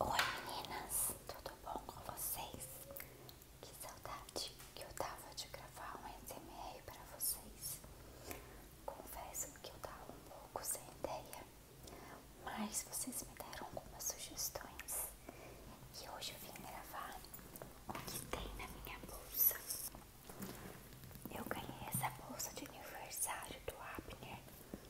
Oi meninas, tudo bom com vocês? Que saudade que eu tava de gravar um SMR para vocês. Confesso que eu tava um pouco sem ideia, mas vocês me deram algumas sugestões e hoje eu vim gravar o que tem na minha bolsa. Eu ganhei essa bolsa de aniversário do Abner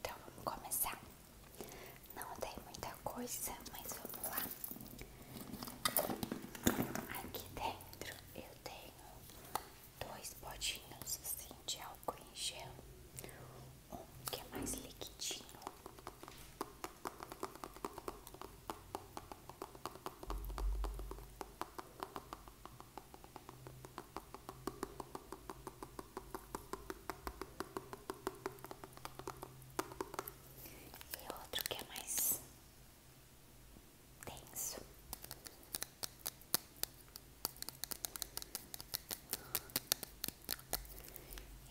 Então vamos começar. Não tem muita coisa, mas vamos lá. Aqui dentro eu tenho dois potinhos assim de algodão álcool em um que é mais liquidinho. E outro que é mais denso.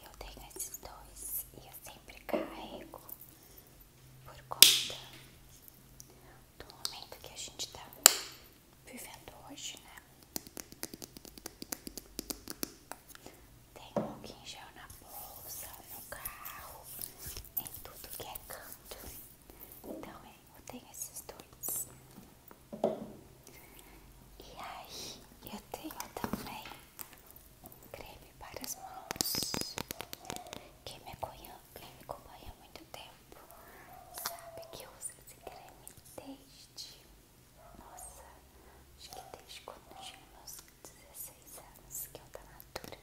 Eu tenho esses dois e eu sempre carrego por conta do momento que a gente tá vivendo hoje, né? Tem um que gel na bolsa, no carro, em tudo que é canto. Então é, eu tenho esses dois. E aí, eu tenho também creme para as mãos. Quem me acompanha, quem me acompanha há muito tempo sabe que eu uso esse creme desde. Nossa, acho que desde quando eu tinha meus 16 anos, que eu o da Natura.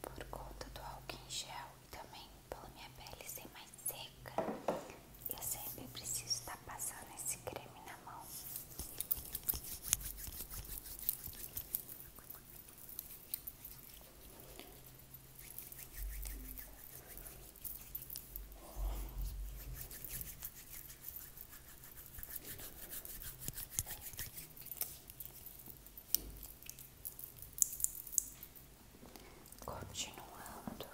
Por conta do álcool em gel e também pela minha pele ser mais seca, eu sempre preciso estar passando esse creme na mão. Continuando,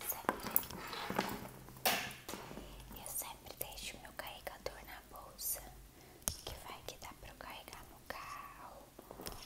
sempre. eu sempre deixo meu carregador na bolsa, que vai que dá para eu carregar no carro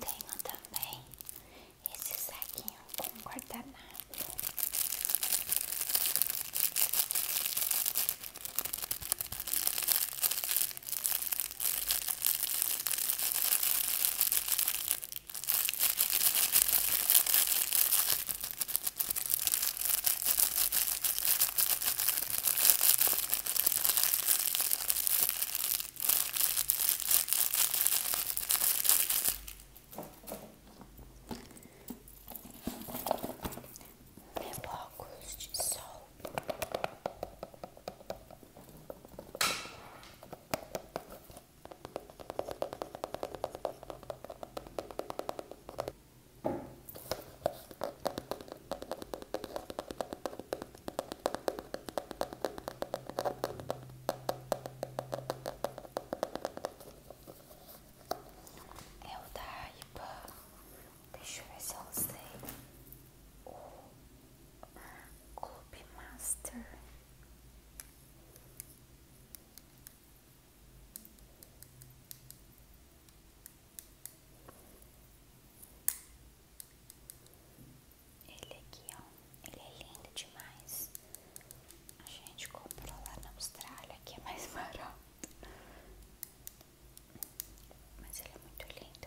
Tenho também esse saquinho com guardanapo. Meu óculos de sol. É o da Deixa eu ver se eu usei o Clube Master. Ele aqui, ó, ele é lindo demais. A gente comprou lá na Austrália, que é mais barato. Mas ele é muito lindo,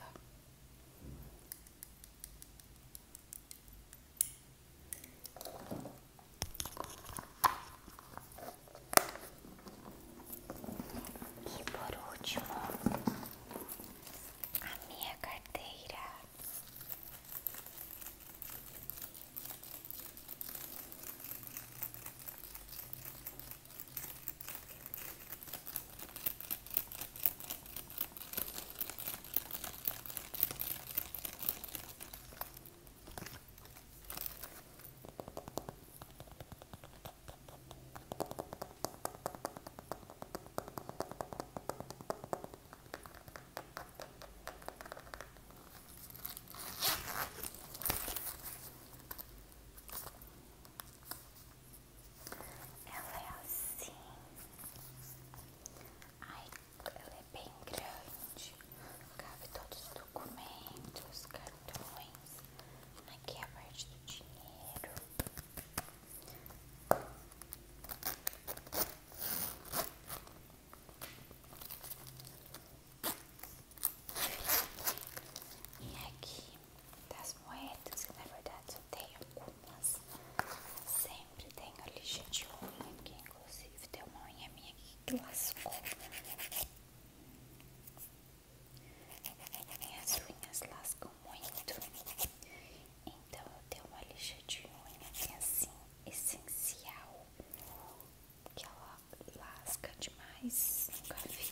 e por último, a minha carteira. Ela é assim. Ai, ela é bem grande. Cabe todos os documentos, cartões. Aqui é a parte do dinheiro. E aqui das moedas, que na verdade eu tenho algumas. Sempre tem a lixa de unha aqui, inclusive tem uma unha minha aqui que lascou. Minhas unhas lascam muito, então eu tenho uma lixa de unha é, assim, essencial, que ela lasca demais, nunca vi.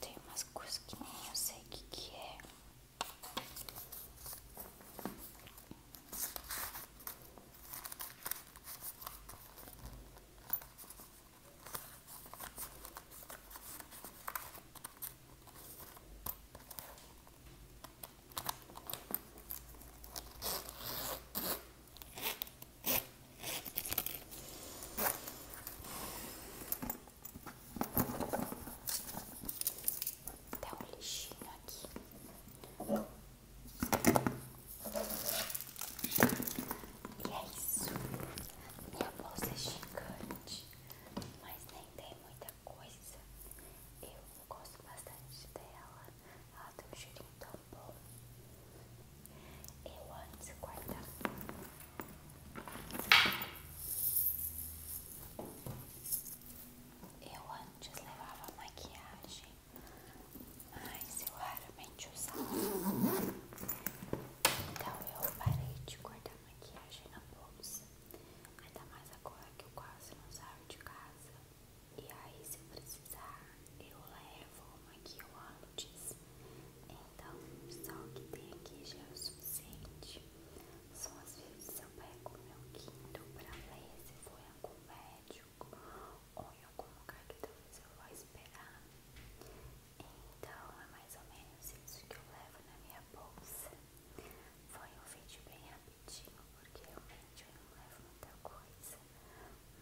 Tem umas coisas que nem eu sei o que, que é. Até um lixinho aqui. E é isso. Minha bolsa é gigante, mas nem tem muita coisa. Eu gosto bastante dela. Ela tem um cheirinho tão bom. Eu antes guardava Eu antes levava maquiagem, mas eu raramente então eu parei de cortar maquiagem na bolsa. Ainda mais agora que eu quase não saio de casa. E aí se eu precisar, eu levo uma aqui eu antes. Então só o que tem aqui já é o suficiente. Só às vezes eu pego o meu quinto pra ler se for algum médico ou em algum lugar que talvez eu vá esperar. Então é mais ou menos isso que eu levo na minha bolsa. Foi um vídeo bem rapidinho, porque realmente eu não levo muita coisa.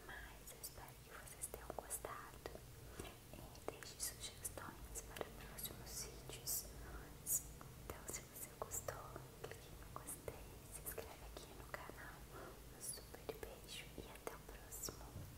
Mas eu espero que vocês tenham gostado. E deixe sugestões para próximos vídeos. Então se você gostou, clique no gostei, se inscreve aqui no canal. Um super beijo e até o próximo.